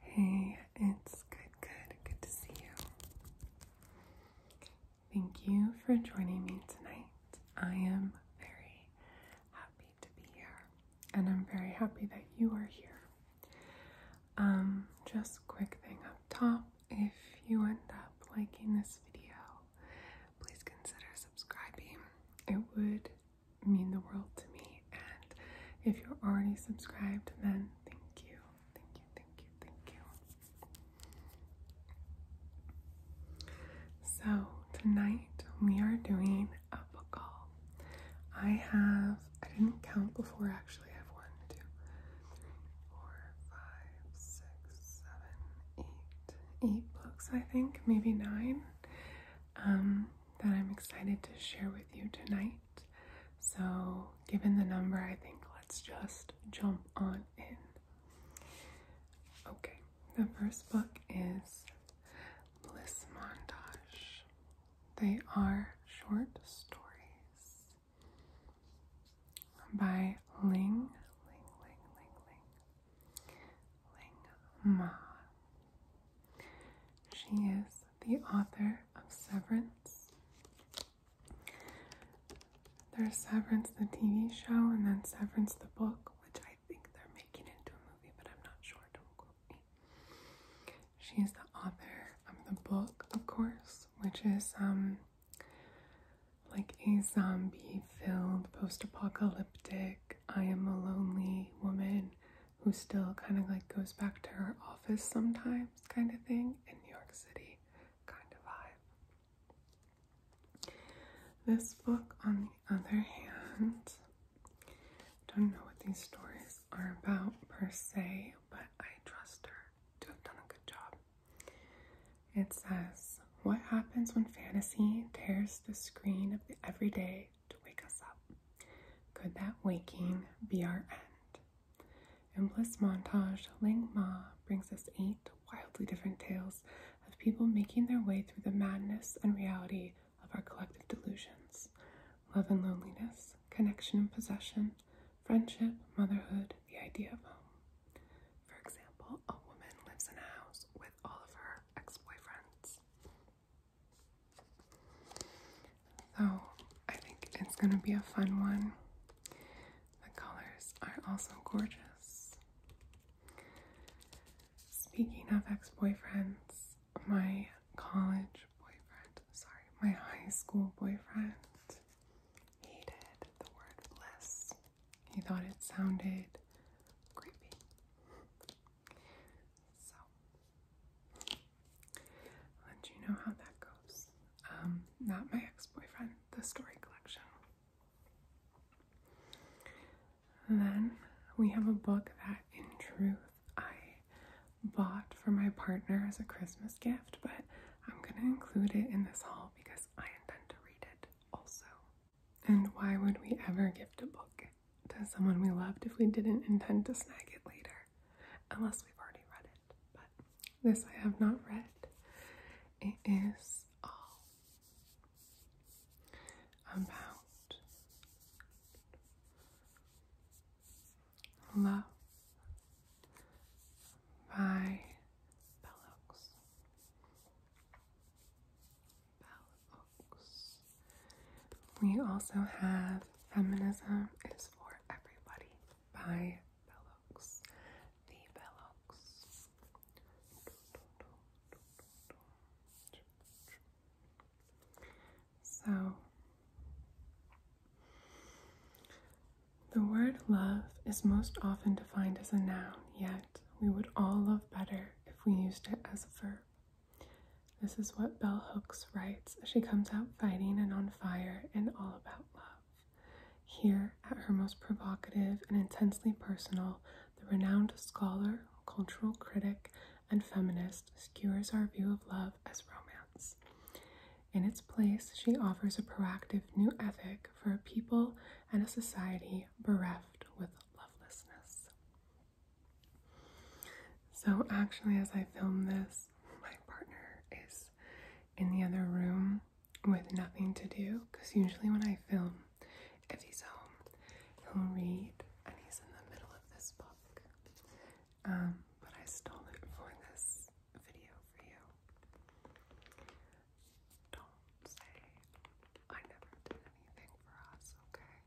Hey, it's good, good, good to see you. Thank you for joining me tonight. I am very happy to be here, and I'm very happy that you are here. Um, just quick thing up top if you end up liking this video, please consider subscribing. It would mean the world to me. And if you're already subscribed, then thank you, thank you, thank you, thank you. So, tonight we are doing a book call. I have, I didn't count before actually. I have one, two, three, four, five, six, seven, eight, eight books, I think, maybe nine. Um, that I'm excited to share with you tonight. So, given the number, I think let's just jump on in. Okay, the first book is Bliss Montage. They are short stories by Ling, Ling, Ling, Ling, Ling, Ling Ma. She is the author of Severance. There's Severance, the TV show, and then Severance, the book, which I think they're making into a movie, but I'm not sure. Don't quote me. She the author of the book, of course, which is um like a zombie-filled, post-apocalyptic. I am a lonely woman who still kind of like goes back to her office sometimes, kind of thing, in New York City, kind of vibe. This book, on the other hand, don't know what these stories are about per se, but I trust her to have done a good job. It says, What happens when fantasy tears the screen of the everyday to wake us up. Could that waking be our end? In Bliss Montage, Ling Ma brings us eight wildly different tales of people making their way through the madness and reality of our collective delusions love and loneliness, connection and possession, friendship, motherhood, the idea of home. For example, a woman lives in a house with all of her ex boyfriends. So I think it's going to be a fun one. The colors are also gorgeous. Speaking of ex boyfriends, my college boyfriend, sorry, my high school boyfriend hated the word bliss. He thought it sounded creepy. So, let you know how that goes. Um, not my ex boyfriend, the story collection. And then we have a book that, in truth, I bought for my partner as a Christmas gift, but I'm gonna include it in this haul because I intend to read it also. And why would we ever gift a book to someone we loved if we didn't intend to snag it later? Unless we've already read it. But this I have not read. It is all about love by Bell we also have Feminism is for Everybody by Bellox. The Bellox. So, the word love is most often defined as a noun, yet we would all love better if we used it as a verb. This is what Bell Hooks writes she comes out fighting and on fire and all about love. Here, at her most provocative and intensely personal, the renowned scholar, cultural critic, and feminist skewers our view of love as romance. In its place, she offers a proactive new ethic for a people and a society bereft with lovelessness. So, actually, as I film this, my partner is in the other room with nothing to do because usually when I film, if he's home, he'll read and he's in the middle of this book. Um, but I stole it for this video for you. Don't say I never did anything for us, okay?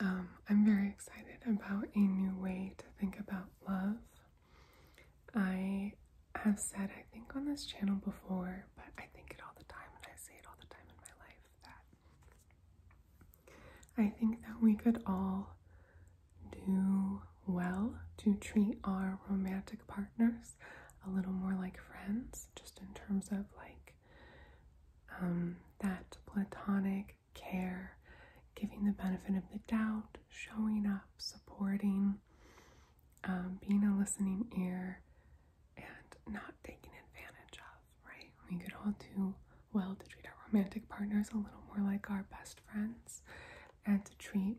Um, I'm very excited about a new way to think about love. I have said, I think, on this channel before, but I think it all the time and I say it all the time in my life that I think that we could all do well to treat our romantic partners a little more like friends, just in terms of like um, that platonic care, giving the benefit of the doubt, showing up, supporting, um, being a listening ear, and not taking advantage of, right? We could all do well to treat our romantic partners a little more like our best friends and to treat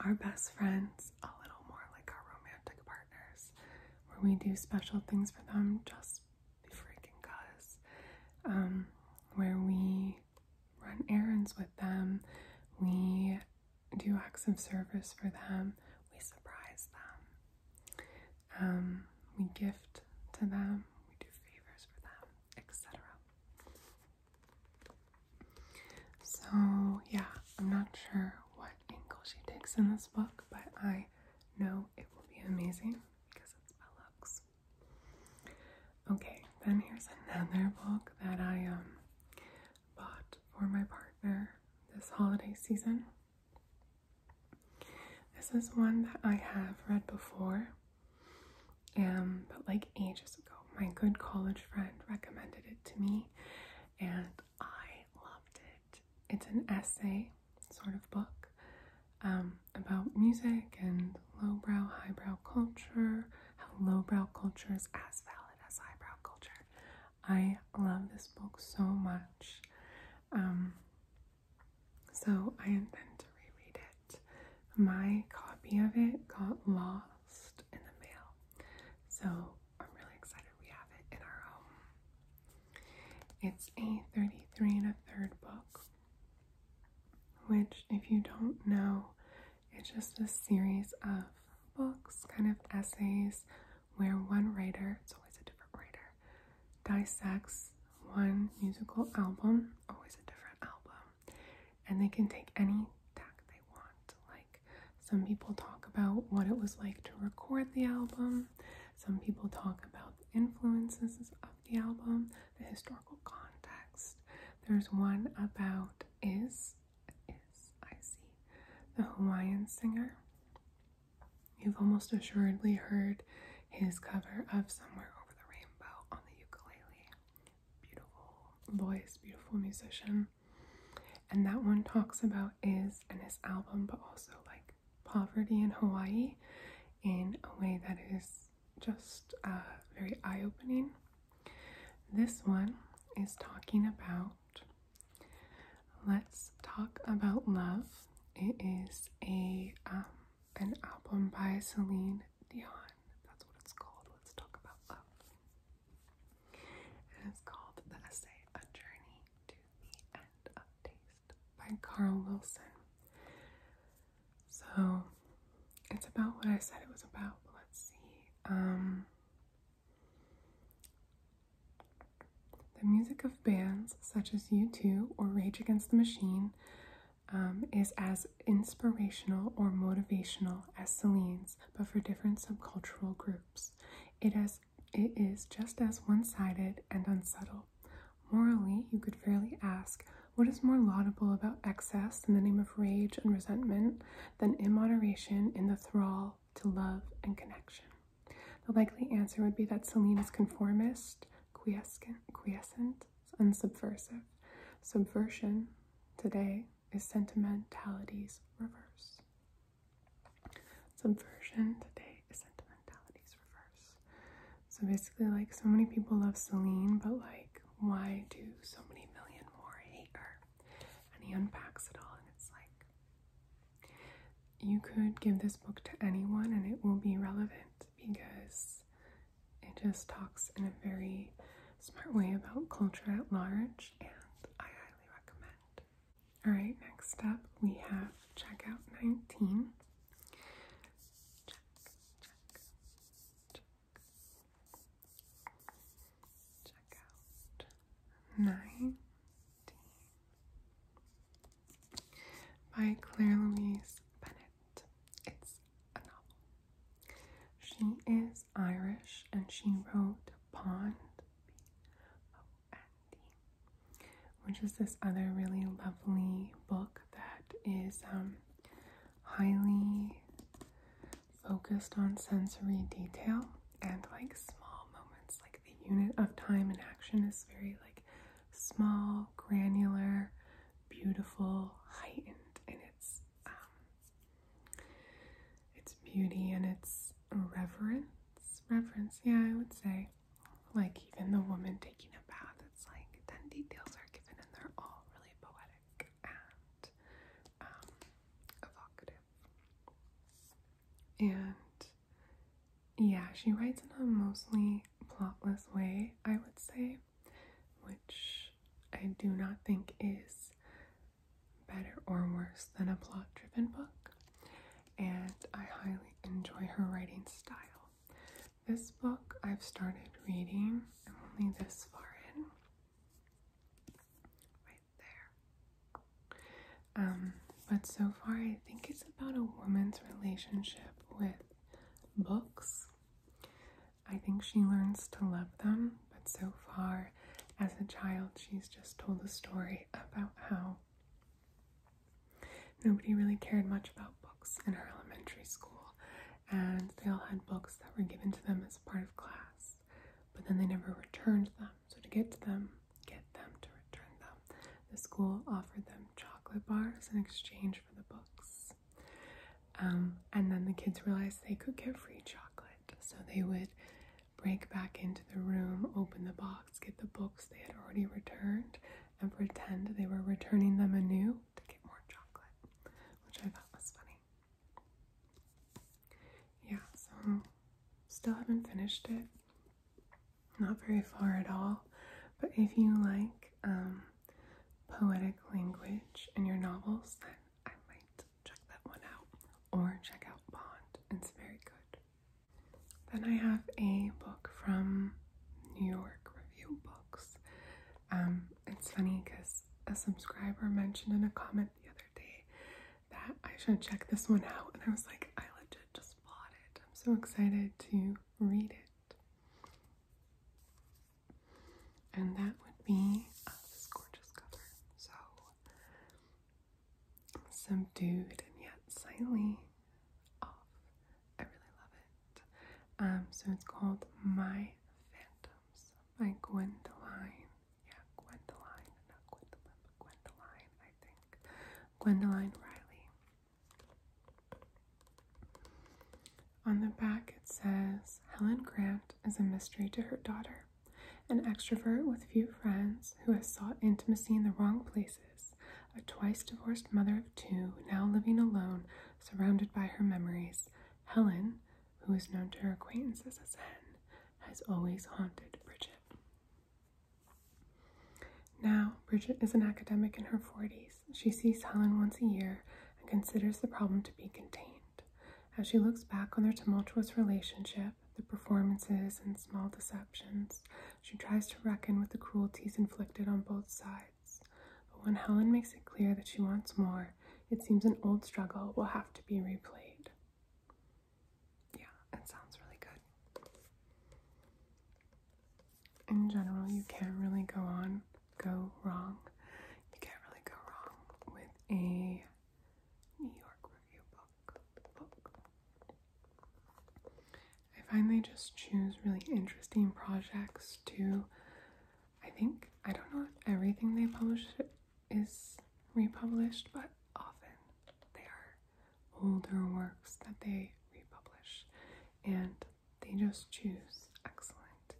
our best friends a little more like our romantic partners, where we do special things for them just cuz. Um, where we run errands with them, we do acts of service for them, we surprise them, um, we gift to them, we do favors for them, etc. So, yeah, I'm not sure what angle she takes in this book, but I know it will be amazing because it's Bellux. Okay, then here's another book that I um bought for my partner this holiday season. This is one that I have read before um, but like ages ago, my good college friend recommended it to me, and I loved it. It's an essay sort of book um, about music and lowbrow, highbrow culture, how lowbrow culture is as valid as highbrow culture. I love this book so much. Um, so I intend to reread it. My copy of it got lost in the mail. So I'm really excited we have it in our home. It's a 33 and a third book, which, if you don't know, it's just a series of books, kind of essays, where one writer, it's always a different writer, dissects one musical album, always a different album, and they can take any tack they want. Like some people talk about what it was like to record the album, some people talk about the influences of the album, the historical context. There's one about Is, Is, I the Hawaiian singer. You've almost assuredly heard his cover of Somewhere Over the Rainbow on the ukulele, beautiful voice, beautiful musician. And that one talks about is and his album, but also like poverty in Hawaii in a way that is just uh, very eye opening. This one is talking about Let's Talk About Love. It is a um, an album by Celine Dion. That's what it's called. Let's talk about love. It is called The Essay A Journey to the End of Taste by Carl Wilson. So it's about what I said it was about. Let's see. Um, the music of bands such as U2 or Rage Against the Machine um, is as inspirational or motivational as Selene's, but for different subcultural groups. It, it is just as one sided and unsubtle. Morally, you could fairly ask what is more laudable about excess in the name of rage and resentment than immoderation in the thrall to love and connection? The likely answer would be that Selene is conformist, quiescent, quiescent and subversive. Subversion today is sentimentality's reverse. Subversion today is sentimentality's reverse. So basically, like so many people love Celine, but like, why do so many million more hate her? And he unpacks it all, and it's like, you could give this book to anyone and it will be relevant because it just talks in a very smart way about culture at large, and I highly recommend. Alright, next up we have Checkout 19. Check, check, check. Checkout 19 by Claire Louise Bennett. It's she is Irish and she wrote Pond, which is this other really lovely book that is um, highly focused on sensory detail and like small moments. Like the unit of time and action is very like small, granular, beautiful, heightened and its um, its beauty and its reverence. Reverence, yeah, I would say. Like even the woman taking a bath, it's like then details are given and they're all really poetic and um, evocative. And yeah, she writes in a mostly plotless way, I would say which I do not think is better or worse than a plot driven book, and I highly enjoy her writing style. This book I've started reading, I'm only this far in. Right there. Um, but so far, I think it's about a woman's relationship with books I think she learns to love them, but so far as a child, she's just told a story about how nobody really cared much about books in her elementary school, and they all had books that were given to them as part of class, but then they never returned them. So, to get them, get them to return them, the school offered them chocolate bars in exchange for the books. Um, and then the kids realized they could get free chocolate. So they would break back into the room, open the box, get the books they had already returned, and pretend they were returning them anew to get more chocolate, which I thought was funny. Yeah, so still haven't finished it. Not very far at all. But if you like um, poetic language in your novels, then I might check that one out or check out Bond. It's very good. Then I have a book from New York Review Books. Um, it's funny because a subscriber mentioned in a comment the other day that I should check this one out, and I was like, I legit just bought it. I'm so excited to read it. And that would be uh, this gorgeous color, So subdued and yet slightly off. I really love it. Um, so it's called My Phantoms by Gwendoline. Yeah, Gwendoline, not Gwendolyn, Gwendoline, I think. Gwendoline Riley. On the back, it says Helen Grant is a mystery to her daughter, an extrovert with few friends who has sought intimacy in the wrong places, a twice divorced mother of two, now living alone, surrounded by her memories. Helen, who is known to her acquaintances as Hen, has always haunted Bridget. Now, Bridget is an academic in her 40s she sees Helen once a year and considers the problem to be contained. As she looks back on their tumultuous relationship, the performances, and small deceptions, she tries to reckon with the cruelties inflicted on both sides. But when Helen makes it clear that she wants more, it seems an old struggle will have to be replayed. Yeah, it sounds really good in general, you can't really go on, go wrong. You can't really go wrong with a New York review book. I find they just choose really interesting projects to. I think, I don't know if everything they publish is republished, but often they are older works that they republish. And they just choose excellent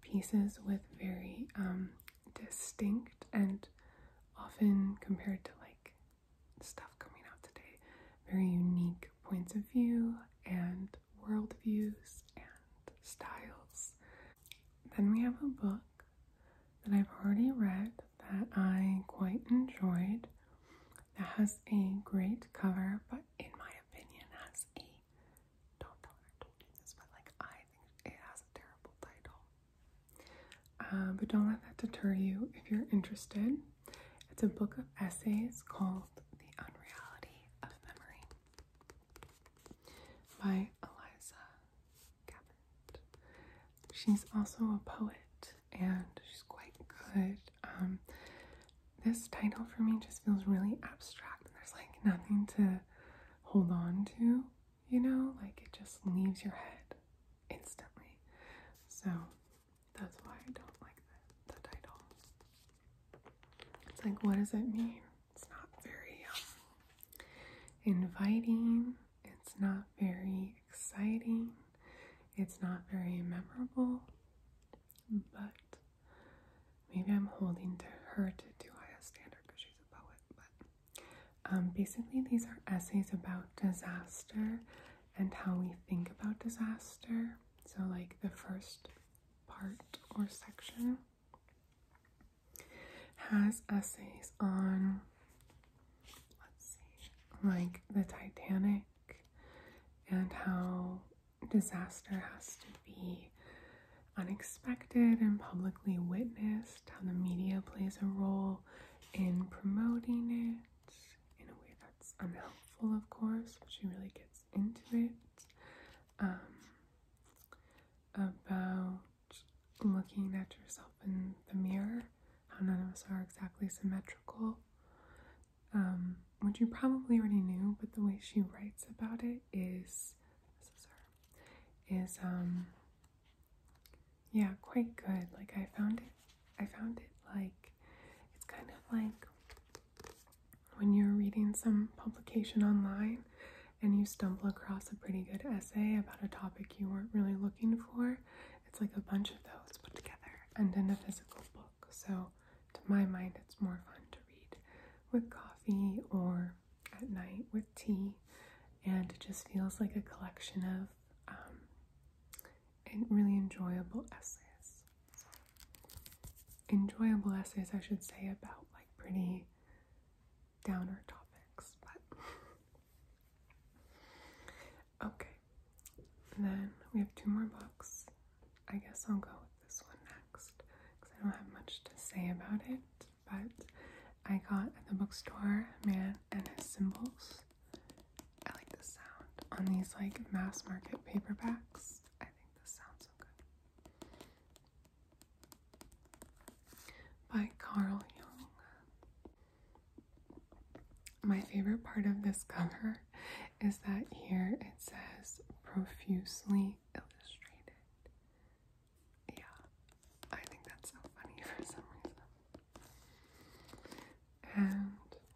pieces with very um, distinct and often compared to like stuff coming out today, very unique points of view and worldviews and styles. Then we have a book that I've already read that I quite enjoyed that has a great cover, but in my opinion, has a don't tell her I told you this, but like I think it has a terrible title. Um, but don't let that deter you if you're interested. It's a book of essays called The Unreality of Memory by Eliza Cabot. She's also a poet and she's quite good. Um, this title for me just feels really abstract. There's like nothing to hold on to, you know, like it just leaves your head instantly. So that's why I don't like the, title. It's like, what does it mean? It's not very um, inviting, it's not very exciting, it's not very memorable but maybe I'm holding to her to too high a standard because she's a poet. But um, basically, these are essays about disaster and how we think about disaster. So, like the first part or section has essays on, let's see, like the Titanic and how disaster has to be unexpected and publicly witnessed, how the media plays a role in promoting it in a way that's unhelpful, of course, she really gets into it. Um, about looking at yourself in the mirror, how none of us are exactly symmetrical, um, which you probably already knew, but the way she writes about it is is um yeah quite good. Like I found it, I found it like it's kind of like when you're reading some publication online and you stumble across a pretty good essay about a topic you weren't really looking for. It's like a bunch of those put together and in a physical book. So to my mind, it's more fun to read with coffee or at night with tea, and it just feels like a collection of um, really enjoyable essays. enjoyable essays, I should say, about like pretty downer topics, but okay, then we have two more books. I guess I'll go with this one next because I don't have much to say about it. But I got at the bookstore Man and His Symbols. I like the sound on these like mass market paperbacks. I think this sounds so good. By Carl Jung. My favorite part of this cover is that here it says profusely illustrated. Yeah, I think that's so funny for some reason. And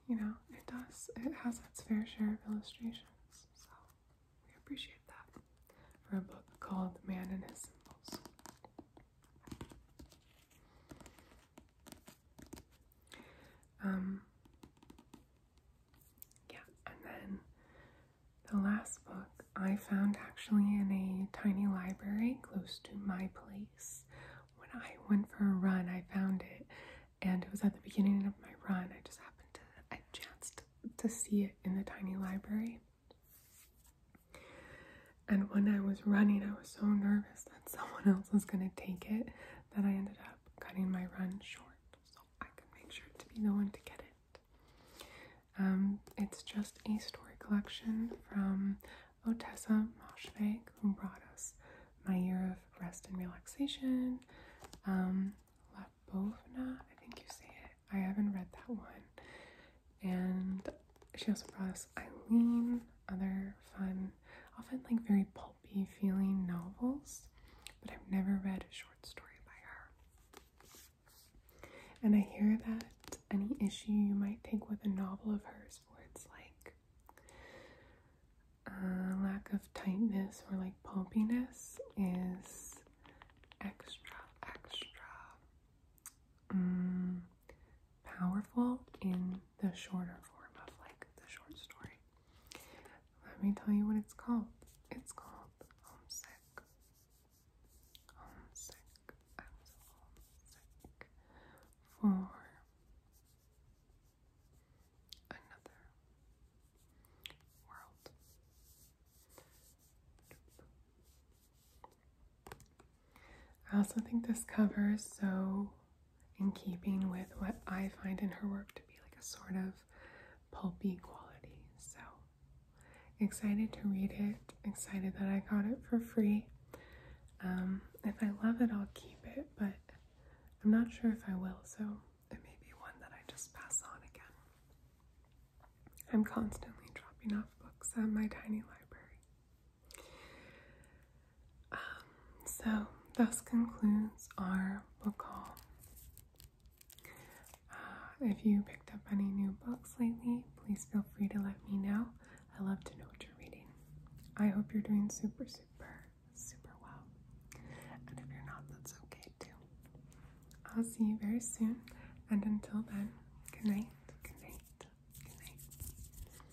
you know, it does, it has its fair share of illustrations, so we appreciate that for a book called The Man and His Symbols. Um, yeah, and then the last book I found actually in a tiny library close to my place. When I went for a run, I found it, and it was at the beginning of my run. I just happened to, I chanced to see it in the tiny library. And when I was running, I was so nervous that someone else was going to take it that I ended up cutting my run short so I could make sure to be the one to get it. Um, it's just a story collection from Otessa Moshveg, who brought us My Year of Rest and Relaxation, um, La I think you say it. I haven't read that one. And she also brought us Eileen, other fun often like very pulpy feeling novels, but I've never read a short story by her. And I hear that any issue you might take with a novel of hers where it's like uh, lack of tightness or like pulpiness is extra, extra mm, powerful in the shorter form of like the short story. Let me tell you what it's called. It's called Homesick. Homesick. I was homesick for another world. I also think this cover is so in keeping with what I find in her work to be like a sort of pulpy quality. So excited to read it, excited that I got it for free. Um, if I love it, I'll keep it, but I'm not sure if I will, so it may be one that I just pass on again. I'm constantly dropping off books at my tiny library. Um, so, thus concludes our book call. Uh, if you picked up any new books lately, please feel free to let me know. I love to know what you're reading. I hope you're doing super, super, super well. And if you're not, that's okay too. I'll see you very soon. And until then, good night, good night, good night.